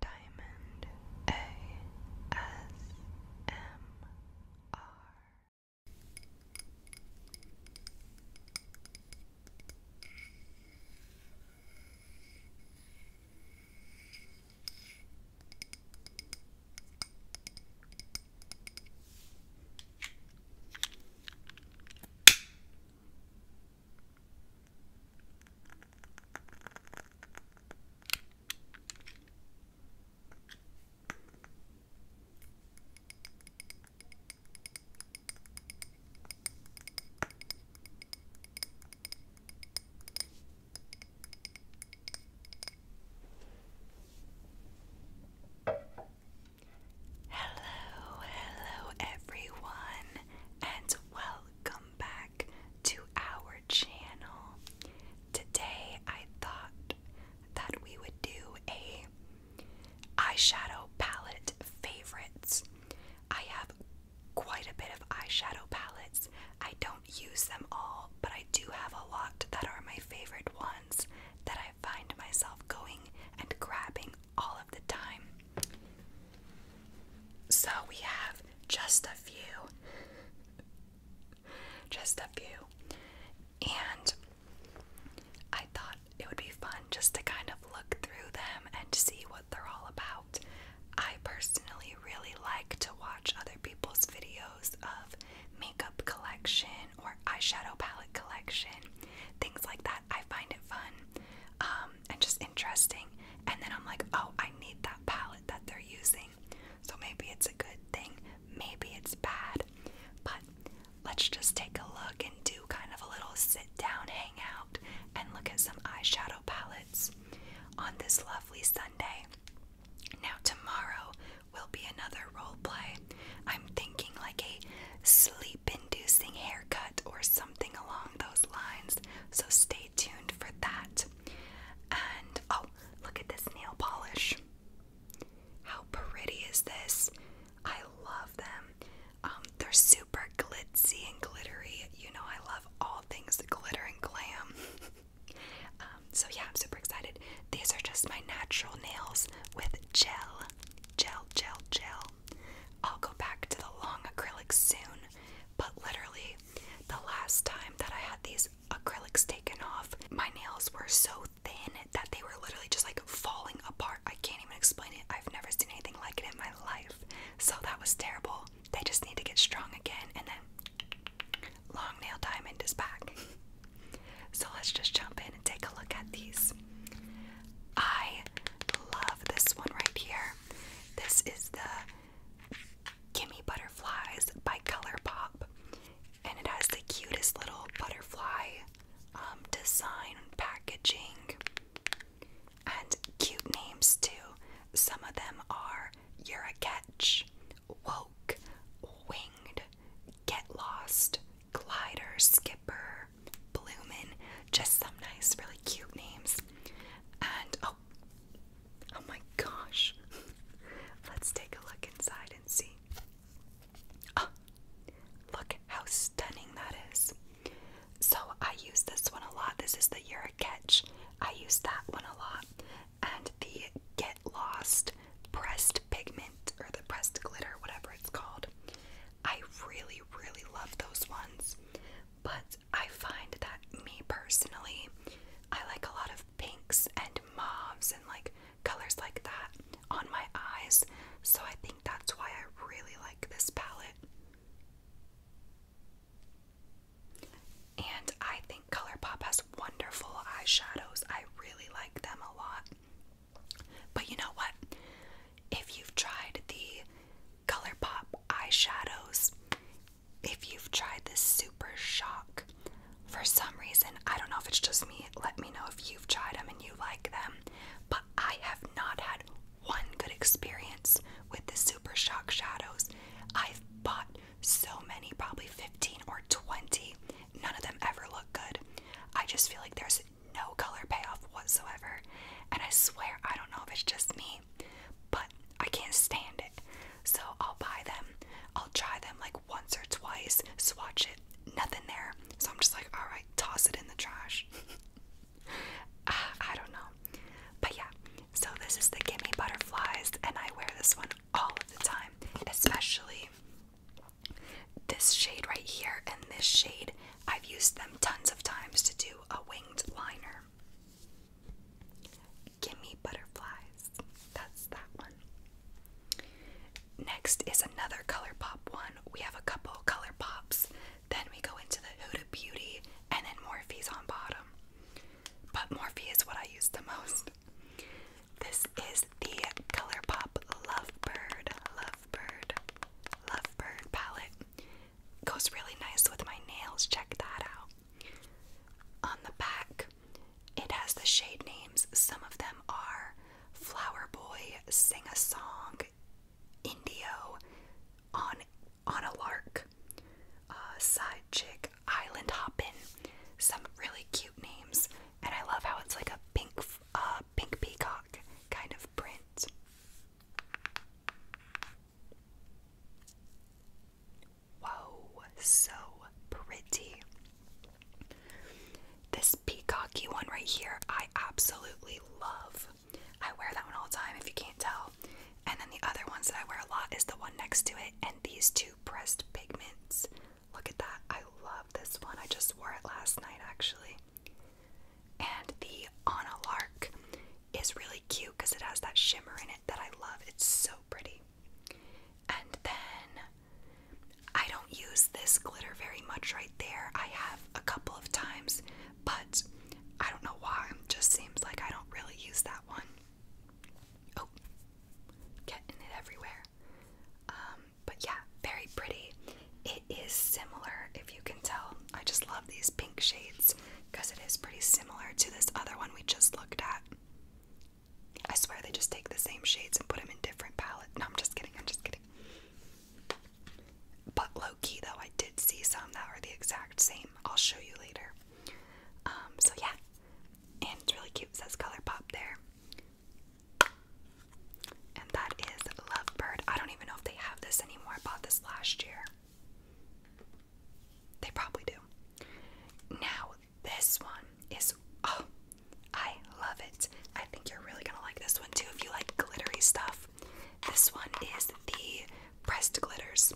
Diamond ASMR. Hello, hello everyone, and welcome welcome back to our channel. Today I thought that we would do a eyeshadow palette favorites. I have quite a bit of eyeshadow palettes. I don't use them all, but I do have a lot that are my favorite ones that I find myself going and grabbing all of the time. So we have just a few. just a few. And I thought it would be fun just to kind of look through them and see what they're all about. I personally really like to watch other people's videos of makeup collection or eyeshadow palette collection, things like that. I find it fun. Um, and just interesting. And then I'm like, oh, I need that palette that they're using. So maybe it's a good thing, maybe it's bad. But let's just take a look and do kind of a little sit down, hang out, and look at some eyeshadow palettes on this lovely Sunday. Now, tomorrow will be another role play. I'm thinking like a sleep inducing haircut or something along those lines. So stay tuned for that. And oh, look at this nail polish. How pretty is this? I love them. Um, they're super glitzy and glittery. You know, I love all things glitter and glam. Um, so, yeah, I'm super excited. These are just my natural nails with gel. Gel, gel, gel. I'll go back to the long acrylic soon, but literally, the last time that I had these acrylics taken off, my nails were so thin that they were literally just like falling apart. I can't even explain it. I've never seen anything like it in my life. So that was terrible. They just need to get strong again and then long nail diamond is back. so let's just jump in and take a look at these. I love this one right here. This is the give Butterflies by Colourpop. And it has the cutest little butterfly um, design packaging and cute names too. Some of them are You're a Catch, Woke, Winged, Get Lost, Glider, Skipper, Bloomin', just some nice, really cute names. And Oh. oh, my gosh. Let's take a look inside and see. Oh, look how stunning that is. So I use this one a lot. This is the You're a Catch. I use that one a lot. And the Get Lost pressed pigment or the pressed glitter, whatever it's called. I really, really love those ones. But I find that me personally, I like a lot of pinks and mauves and like colors like that on my eyes. So I think that's why I really like this palette. And I think ColourPop has wonderful eyeshadows. I really like them a lot. But you know what? If you've tried the ColourPop eyeshadows. If you've tried this Super Shock, for some reason, I don't know if it's just me, let me know if you've tried them and you like them, but I have not had one good experience with the Super Shock shadows. I've bought so many, probably 15 or 20. None of them ever look good. I just feel like there's no color payoff whatsoever. And I swear, I don't know if it's just me, but I can't stand it. So I'll buy them, I'll try them like once or twice, swatch it, nothing there. So I'm just like, all right, toss it in the trash. Ah, I don't know. But yeah, so this is the Gimme Butterflies, and I wear this one all of the time, especially this shade right here and this shade. I've used them tons of times to do a winged liner. Gimme Butterflies. That's that one. Next is another Color Pop one. We have a couple Color Pops. Then we go into the Huda Beauty and then Morphe's on bottom. But Morphe is what I use the most. This is the Color Pop Lovebird, Lovebird, Lovebird palette. Goes really nice with my nails. Check that out. On the back, it has the shade names. Some of them are Flower Boy, Sing a Song, Indio, On on a Lark, uh, Side Chick, Island Hoppin. Some really cute names, and I love how it's like a pink, uh, pink peacock kind of print. Whoa, so pretty. This peacocky one right here, I absolutely love. I wear that one all the time if you can't tell. And then the other ones that I wear a lot is the one next to it and these two pressed pigments. Look at that. I love this one. I just wore it last night actually. And the Anna Lark is really cute because it has that shimmer in it that I love. It's so pretty. And then I don't use this glitter very much right there. I have a couple of times, but I don't know why. It just seems like I don't really use that one. Oh, getting it everywhere. Um, but yeah, very pretty. It is similar, if you can tell. I just love these pink shades because it is pretty similar to this other one we just looked at. I swear they just take the same shades and put them in different palettes. No, I'm just kidding. I'm just kidding. But low key though, I did see some that are the exact same. I'll show you later. Um, so yeah, and it's really cute. It says Pop there, and that is Lovebird. I don't even know if they have this anymore. I bought this last year. They probably do. Now, this one is, oh, I love it. I think you're really gonna like this one too if you like glittery stuff. This one is the pressed glitters,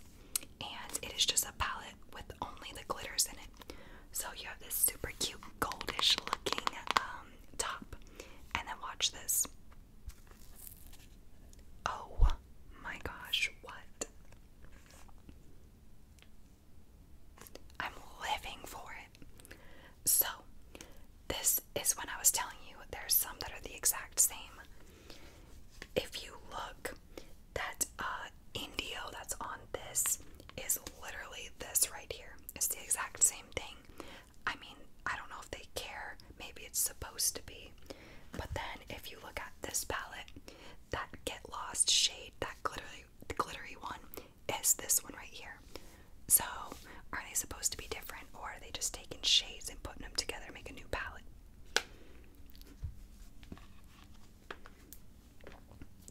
and it is just a palette with only the glitters in it. So you have this super cute goldish looking um, top, and then watch this. Oh my gosh, what? I'm living for it. So, this is when I was telling you there's some that are the exact same. If you look, that uh, Indio that's on this is literally this right here. It's the exact same thing. I mean, I don't know if they care. Maybe it's supposed to be. But then if you look at this palette, that Get Lost shade, that glittery glittery one, is this one right here. So are they supposed to be different or are they just taking shades and putting them together to make a new palette?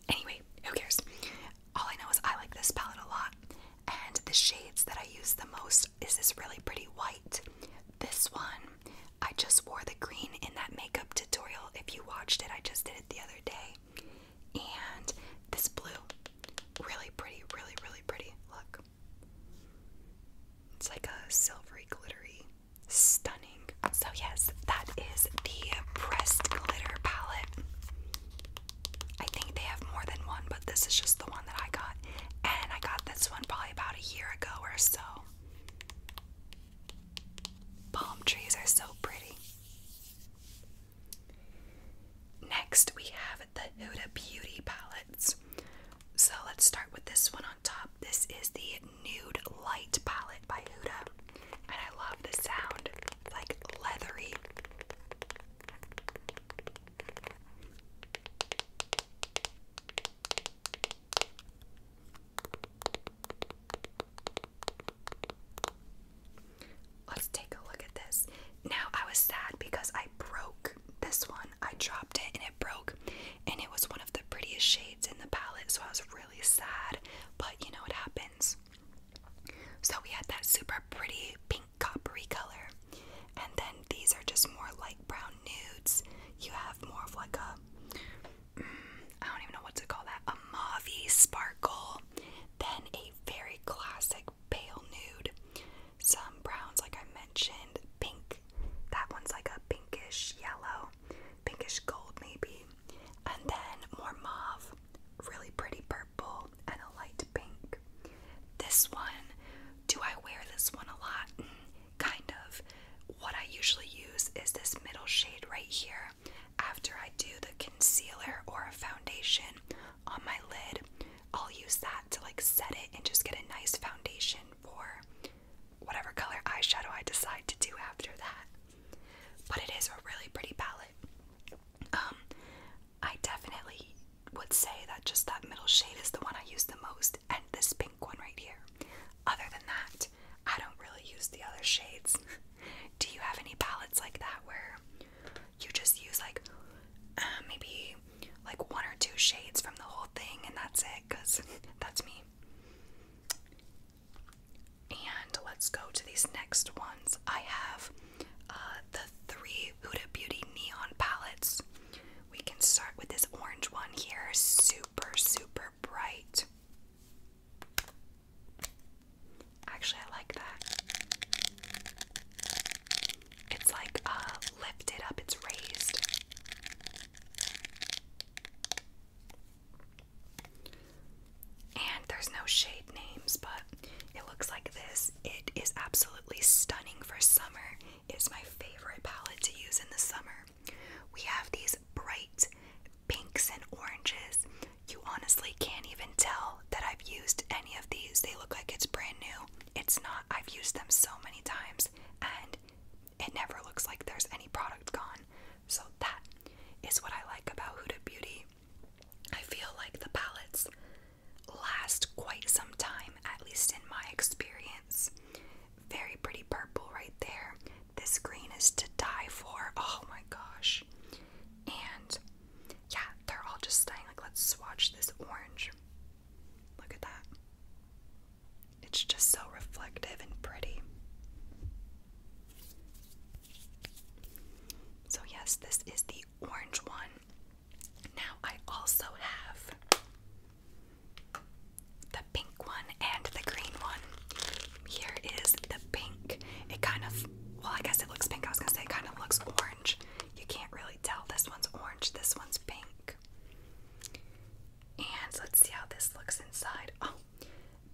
Anyway, who cares? All I know is I like this palette a lot, and the shades that I use the most is this really pretty white. This one, I just wore the green in that makeup tutorial. If you watched it, I just did it the other day. And this blue, really pretty, really, really pretty. Look. It's like a silvery, glittery, stunning. So, yes, that is the pressed glitter palette. I think they have more than one, but this is just the one that I got. And I got this one probably about a year ago or so. Palm trees are so pretty. Next, we have the Huda Beauty palettes. So let's start with this one on top. This is the Nude Light palette by Huda. And I love the sound, like leathery. Let's take a look at this. Now, I was sad because I broke this one. I dropped it and it broke, and it was one of the prettiest shades in the palette, so I was really sad. But you know what happens. So, we had that super pretty pink coppery color, and then these are just more light brown nudes. You have more of like a, mm, don't even know what to call that, a mauve sparkle. Then a very classic pale nude. Some browns, like I mentioned, pink. That one's like a pinkish yellow, pinkish gold maybe. And then more mauve, really pretty purple, and a light pink. This one, do I wear this one a lot? Mm, kind of. What I usually use is this middle shade right here after I do the concealer or a foundation on my lid. I'll use that to like set it and just get a nice foundation for whatever color eyeshadow I decide to do after that. But it is a really pretty palette. Um I definitely would say that just that middle shade is the one I use the most, and this pink one right here. Other than that, I don't really use the other shades. Do you have any palettes like that where you just use like uh, maybe like one or two shades from the whole thing and that's it? Because that's me. And let's go to these next ones. I have uh, the three Huda Beauty neon palettes. We can start with this orange one here, super, super bright. Actually, I like that. It's like uh, lifted up, it's raised. And there's no shade names, but it looks like this. It is absolutely stunning for summer is my favorite palette to use in the summer. We have these bright pinks and oranges. You honestly can't even tell that I've used any of these. They look like it's brand new. It's not. I've used them so many times and it never looks like there's any product gone. So that is what I like about Huda Beauty. I feel like the palettes last quite some time, at least in my experience. Very pretty purple right there. This green is to die for. Oh my gosh. And yeah, they're all just stunning. Like, let's swatch this orange. Look at that. It's just so reflective and pretty. So, yes, this is the orange one. Now I also have the pink one and the green one. Here is the pink. It kind of, well, I guess it looks pink. I was gonna say it kind of looks orange. You can't really tell. This one's orange, this one's pink. And let's see how this looks inside. Oh,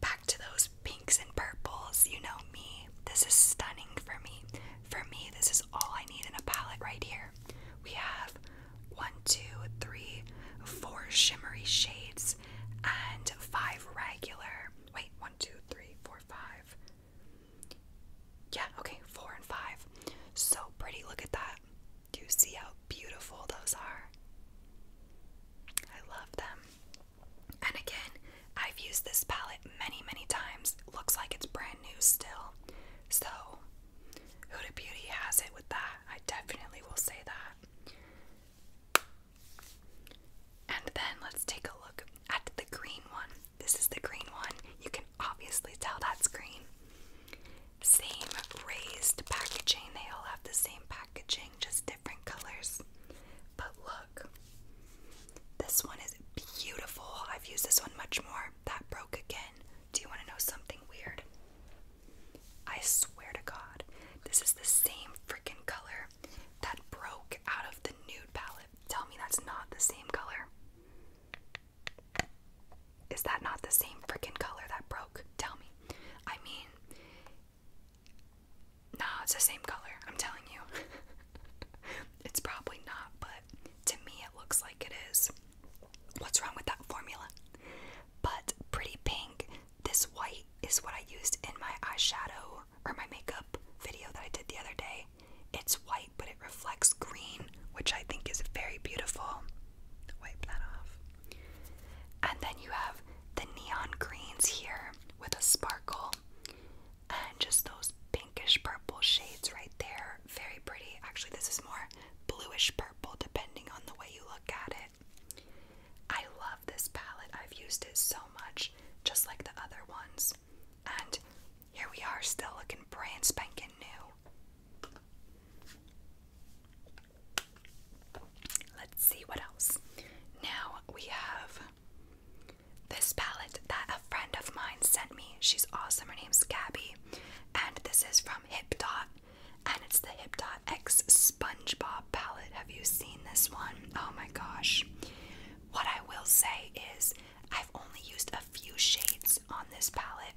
back to those pinks and purples. You know me. This is stunning for me. For me, this is all I need in a palette right here. We have one, two, three, four shimmery shades, and five regular. Wait, one, two, three, four, five. Yeah, okay, four and five. So pretty. Look at that. Do you see how beautiful those are? I love them. And again, I've used this palette many, many times. Looks like it's brand new still. So Huda Beauty has it with that. I definitely will say that. And then let's take a look at the green one. This is the green one. You can obviously tell that's green. Same raised packaging. They all have the same packaging, just different colors. But look, this one is beautiful. I've used this one much more. That broke again. Do you want to know something weird? I swear to God, this is the same freaking color that broke out of the nude palette. Tell me that's not the same color. Is that not the same freaking color that broke? Tell me. I mean, nah, it's the same color. I'm telling you. it's probably not, but to me it looks like it is. What's wrong with that formula? But pretty pink, this white is what I used in my eyeshadow or my makeup video that I did the other day. It's white, but it reflects green, which I think is very beautiful. Wipe that off. And then you have the neon greens here with a sparkle. And just those pinkish purple shades right there. Very pretty. Actually, this is more bluish purple depending on the way you look at it. I love this palette. I've used it so much, just like the other ones. And here we are still looking brand spanking new. Let's see what else. Now we have this palette that a friend of mine sent me. She's awesome. Her name's Gabby. And this is from Hip Dot, and it's the Hip Dot X SpongeBob palette. Have you seen this one? Oh my gosh. What I will say is, I've only used a few shades on this palette.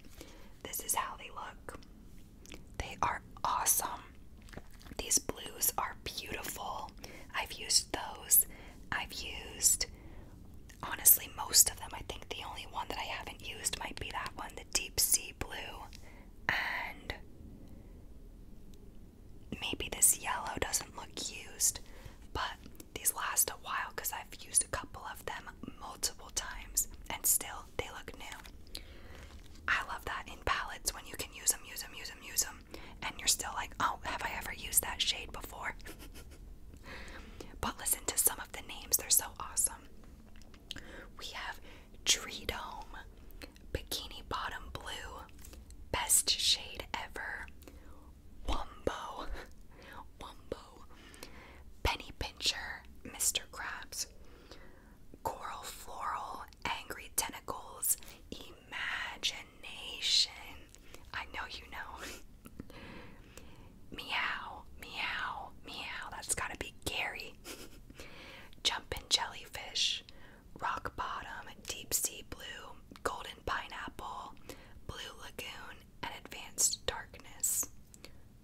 This is how they look. They are awesome. These blues are beautiful. I've used those. I've used honestly most of them. I think the only one that I haven't used might be that one, the deep sea blue, and maybe this yellow doesn't look used, but these last a while because I've used a couple of them multiple times and still they look new. I love that in palettes when you can use them, use them, use them, use them, and you're still like, oh, have I ever used that shade before? but listen to some of the names, they're so awesome. We have Tree Dome, Bikini Bottom Blue, Best Shade Ever, Wumbo, Wumbo, Penny Pincher, Mr. Krabs, Coral Floral, Angry Tentacles, Imagination. I know you know. Meow, meow, meow. That's gotta be Gary. Jumpin' jellyfish, rock bottom, deep sea blue, golden pineapple, blue lagoon, and advanced darkness.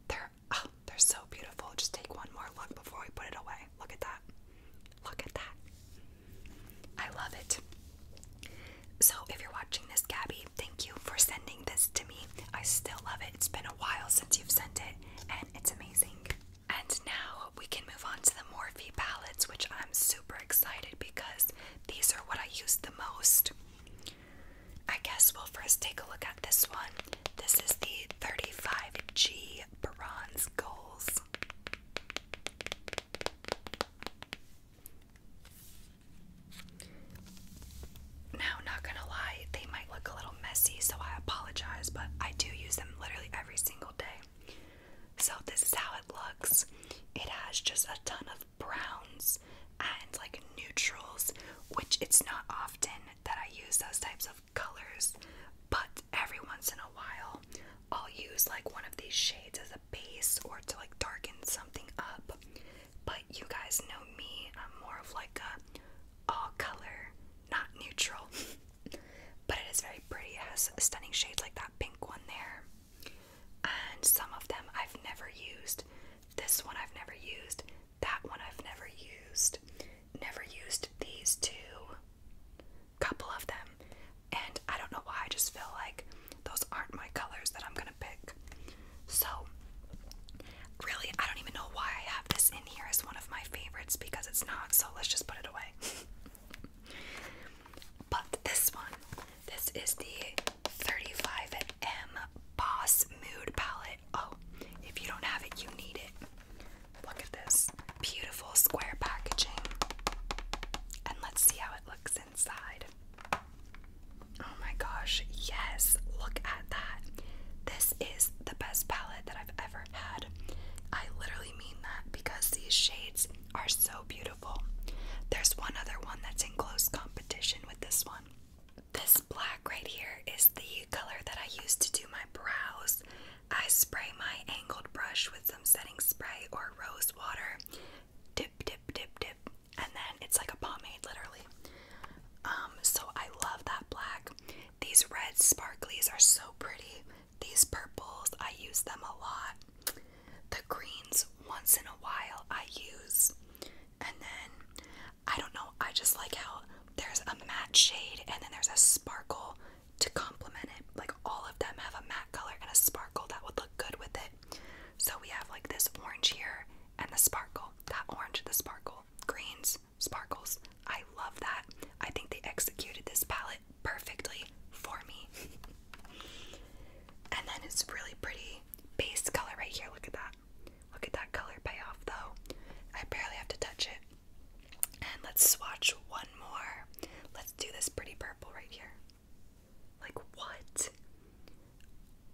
They're oh, they're so beautiful. Just take one more look before we put it away. Look at that. Look at that. I love it. So if you're watching this, Gabby, thank you for sending this to me. I still love it. It's been a while since you've sent it, and it's amazing. And now we can move on to the Morphe palettes, which I'm super excited because these are what I use the most. I guess we'll first take a look at this one. This is the 35G Bronze Goals. Now, not gonna lie, they might look a little messy, so I apologize, but I do use them literally every single day. So, this is how it looks it has just a ton of browns and like neutrals, which it's not often that I use those types of colors, but every once in a while, I'll use like one of these shades as a base or to like darken something up. But you guys know me, I'm more of like a all color, not neutral. but it is very pretty, it has stunning shades like that pink one there. And some of them I've never used. This one I've never used. That one I've never used. Never used these two. Couple of them. And I don't know why, I just feel like those aren't my colors that I'm gonna pick. So, really, I don't even know why I have this in here as one of my favorites because it's not, so let's just put it away. but this one, this is the 35M Boss Mood Palette. Oh, if you don't have it, you need it. Look at this beautiful square packaging. And let's see how it looks Oh my gosh, yes, look at that. This is the best palette that I've ever had. I literally mean that because these shades are so beautiful. There's one other one that's in close competition with this one. This black right here is the color that I use to do my brows. I spray my angled brush with some setting spray or rose water. Dip, dip, dip, dip and then it's like a pomade literally. Um, so I love that black. These red sparklies are so pretty. These purples, I use them a lot. The greens, once in a while, I use. And then, I don't know, I just like how there's a matte shade and then there's a sparkle to complement it. Like all of them have a matte color and a sparkle that would look good with it. So we have like this orange here and the sparkle. That orange, the sparkle. Greens, sparkles. I love that. I think they executed this palette perfectly for me. and then it's really pretty base color right here. Look at that. Look at that color payoff though. I barely have to touch it. And let's swatch one more. Let's do this pretty purple right here. Like, what?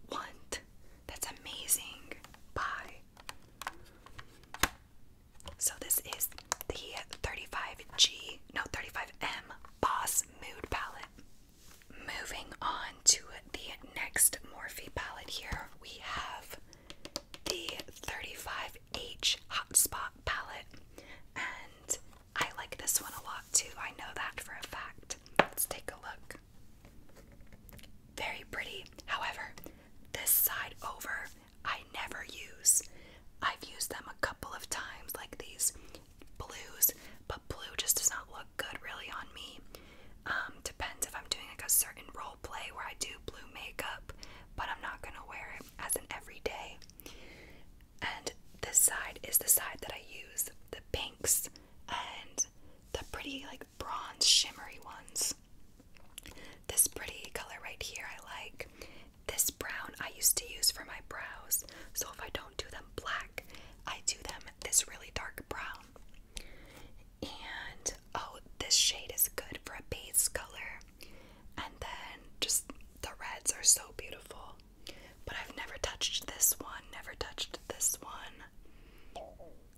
What? That's amazing. Bye. So this is the 35G, no 35M Boss Mood Palette. Moving on to the next Morphe palette here, we have the 35H Hotspot palette. And I like this one a lot too. I know that for a fact. Let's take a look. Very pretty. However, this side over I never use. I've used them a couple of times, like these blues, but blue just does not look good really on me. Um, depends if I'm doing like a certain role play where I do blue makeup, but I'm not gonna wear it as an everyday. And this side is the side that I use the pinks and the pretty like bronze shimmery ones. This pretty color right here I like. This brown I used to use for my brows. So if I don't do them black, I do them this really dark brown. And oh, this shade is good for a base color. And then just the reds are so beautiful. But I've never touched this one, never touched this one.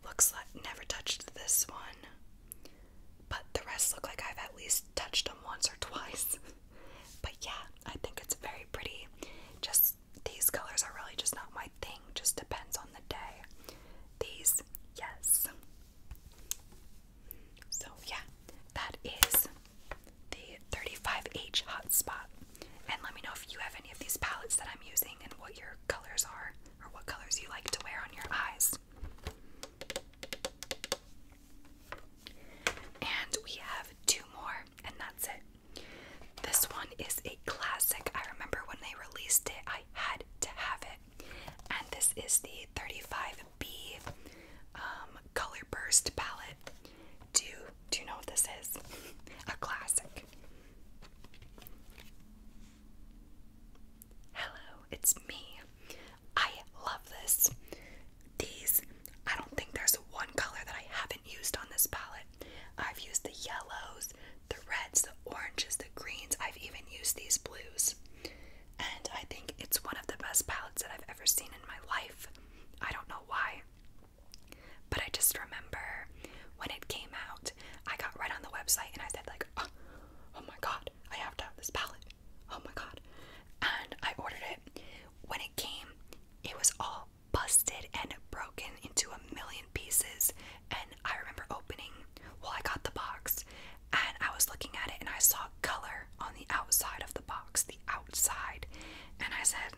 Looks like never touched this one, but the rest look like I've at least touched them once or twice. but yeah, I think it's very pretty. Just these colors are really just not my thing, just depends on the day. These, yes. So yeah, that is the 35H hotspot. And let me know if you have any of these palettes that I'm using and what your colors are or what colors you like to wear on your eyes. And we have two more, and that's it. This one is a classic. I remember when they released it, I had to have it. And this is the 35B um, Color Burst palette. Do you, do you know what this is? A classic. Hello, it's me. I love this. These, I don't think there's one color that I haven't used on this palette. I've used the yellows, the reds, the oranges, the greens. I've even used these blues. And I think it's one of the best palettes that I've ever seen in my life. I don't know why. But I just remember when it came out, I got right on the website and I said like, oh, oh, my god, I have to have this palette. Oh my god. And I ordered it. When it came, it was all busted and broken into a million pieces. And I remember opening, well, I got the box and I was looking at it and I saw color on the outside of the box, the outside. And I said,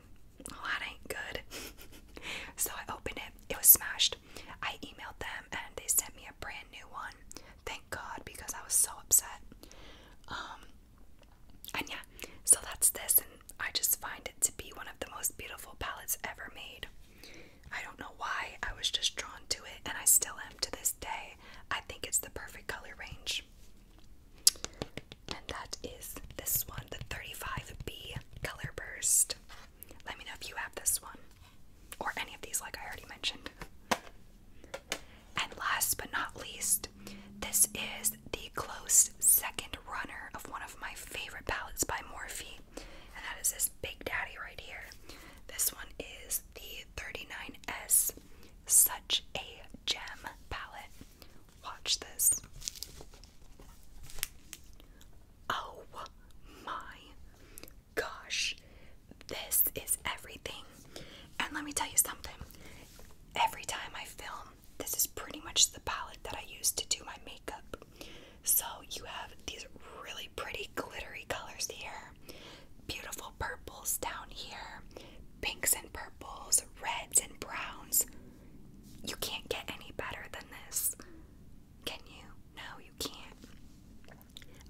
that ain't good. so I opened it, it was smashed. I emailed them and they sent me a brand new one. Thank God because I was so upset. Um, and yeah, so that's this, and I just find it to be one of the most beautiful palettes ever made. I don't know why, I was just drawn to it, and I still am to this day. I think it's the perfect color range. And that is this one, the 35B Color Burst. Let me know if you have this one or any of these, like I already mentioned. And last but not least, this is the close second runner of one of my favorite palettes by Morphe, and that is this Big Daddy right here. This one is the 39S Such a Gem palette. Watch this. Oh my gosh, this is everything. And let me tell you something every time I film, this is pretty much the palette that I use to do my makeup. So you have these really pretty glittery colors here, beautiful purples down here, pinks and purples, reds and browns. You can't get any better than this. Can you? No, you can't.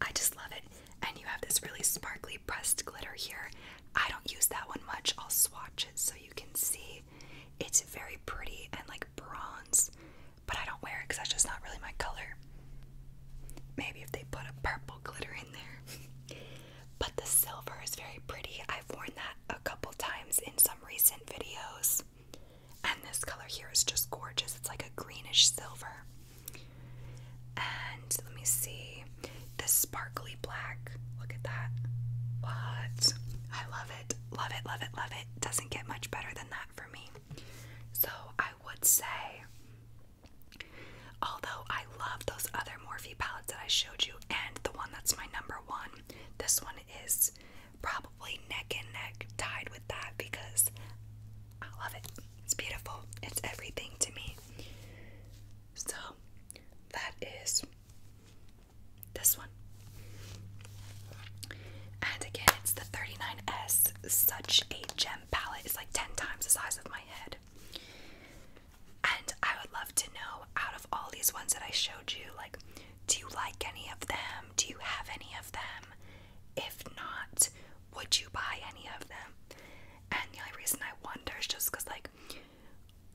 I just love it. And you have this really sparkly pressed glitter here. I don't use that one much. I'll swatch it so you can see. It's very pretty and like bronze, but I don't wear it because that's just not really my color. Maybe if they put a purple glitter in there. but the silver is very pretty. I've worn that a couple times in some recent videos. And this color here is just gorgeous. It's like a greenish silver. And let me see this sparkly black. Look at that. What? I love it. Love it, love it, love it. Doesn't get much better than that for me. So I would say, although I love those other Morphe palettes that I showed you and the one that's my number one, this one is probably neck and neck tied with that because I love it. It's beautiful. It's everything to me. So that is this one. And again, it's the 39S. Such a gem palette. It's like 10 times the size of my head. And I would love to know out of all these ones that I showed you, like do you like any of them? Do you have any of them? If not, would you buy any of them? And the only reason I wonder is just because, like,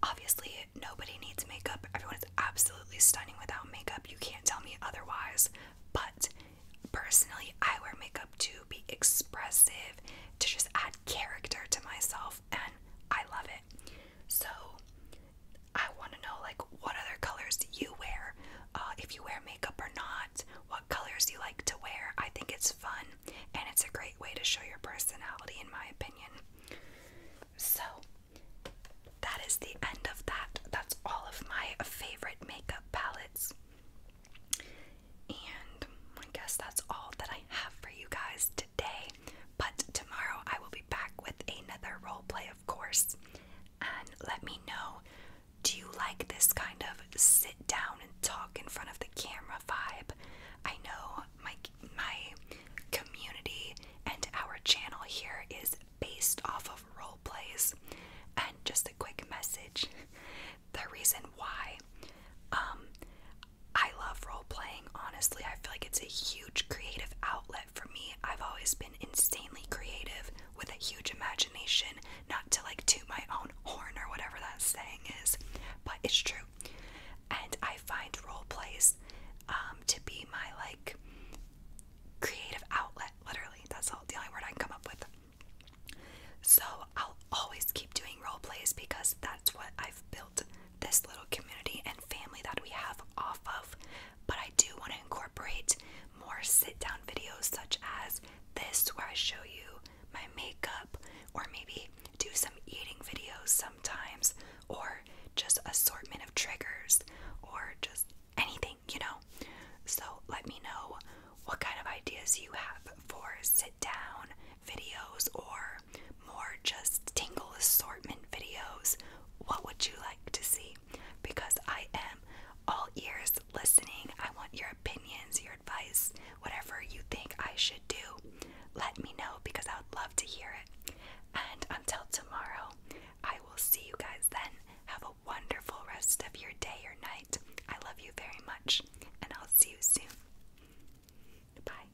obviously nobody needs makeup. Everyone is absolutely stunning without makeup. You can't tell me otherwise. But personally, I wear makeup to be expressive, to just add character to myself, and I love it. So I want to know like what other colors you wear, uh, if you wear makeup or not, what colors you like to wear. I think it's fun and it's a great way to show your personality, in my opinion. So that is the end of that. That's all of my favorite makeup palettes. And I guess that's all that I have for you guys but tomorrow I will be back with another role play, of course. And let me know do you like this kind of sit down and talk in front of the camera vibe? I know my my community and our channel here is based off of role plays. And just a quick message. The reason why um, I love role playing, honestly. I feel like it's a huge creative outlet for me. I've always been insanely creative with a huge imagination, not to like toot my own horn or whatever that saying is, but it's true. And I find role plays um, to be my like creative outlet, literally. That's all the only word I can come up with. So I'll always keep doing role plays because that's what I've built this little community and family that we have off of. But I do want to incorporate more sit down videos such as this, where I show you my makeup, or maybe do some eating videos sometimes, or just assortment of triggers, or just anything, you know? So let me know what kind of ideas you have for sit down videos or more just tingle assortment videos, what would you like to see? Because I am all ears listening. I want your opinions, your advice, whatever you think I should do. Let me know because I would love to hear it. And until tomorrow, I will see you guys then. Have a wonderful rest of your day or night. I love you very much, and I'll see you soon. Bye.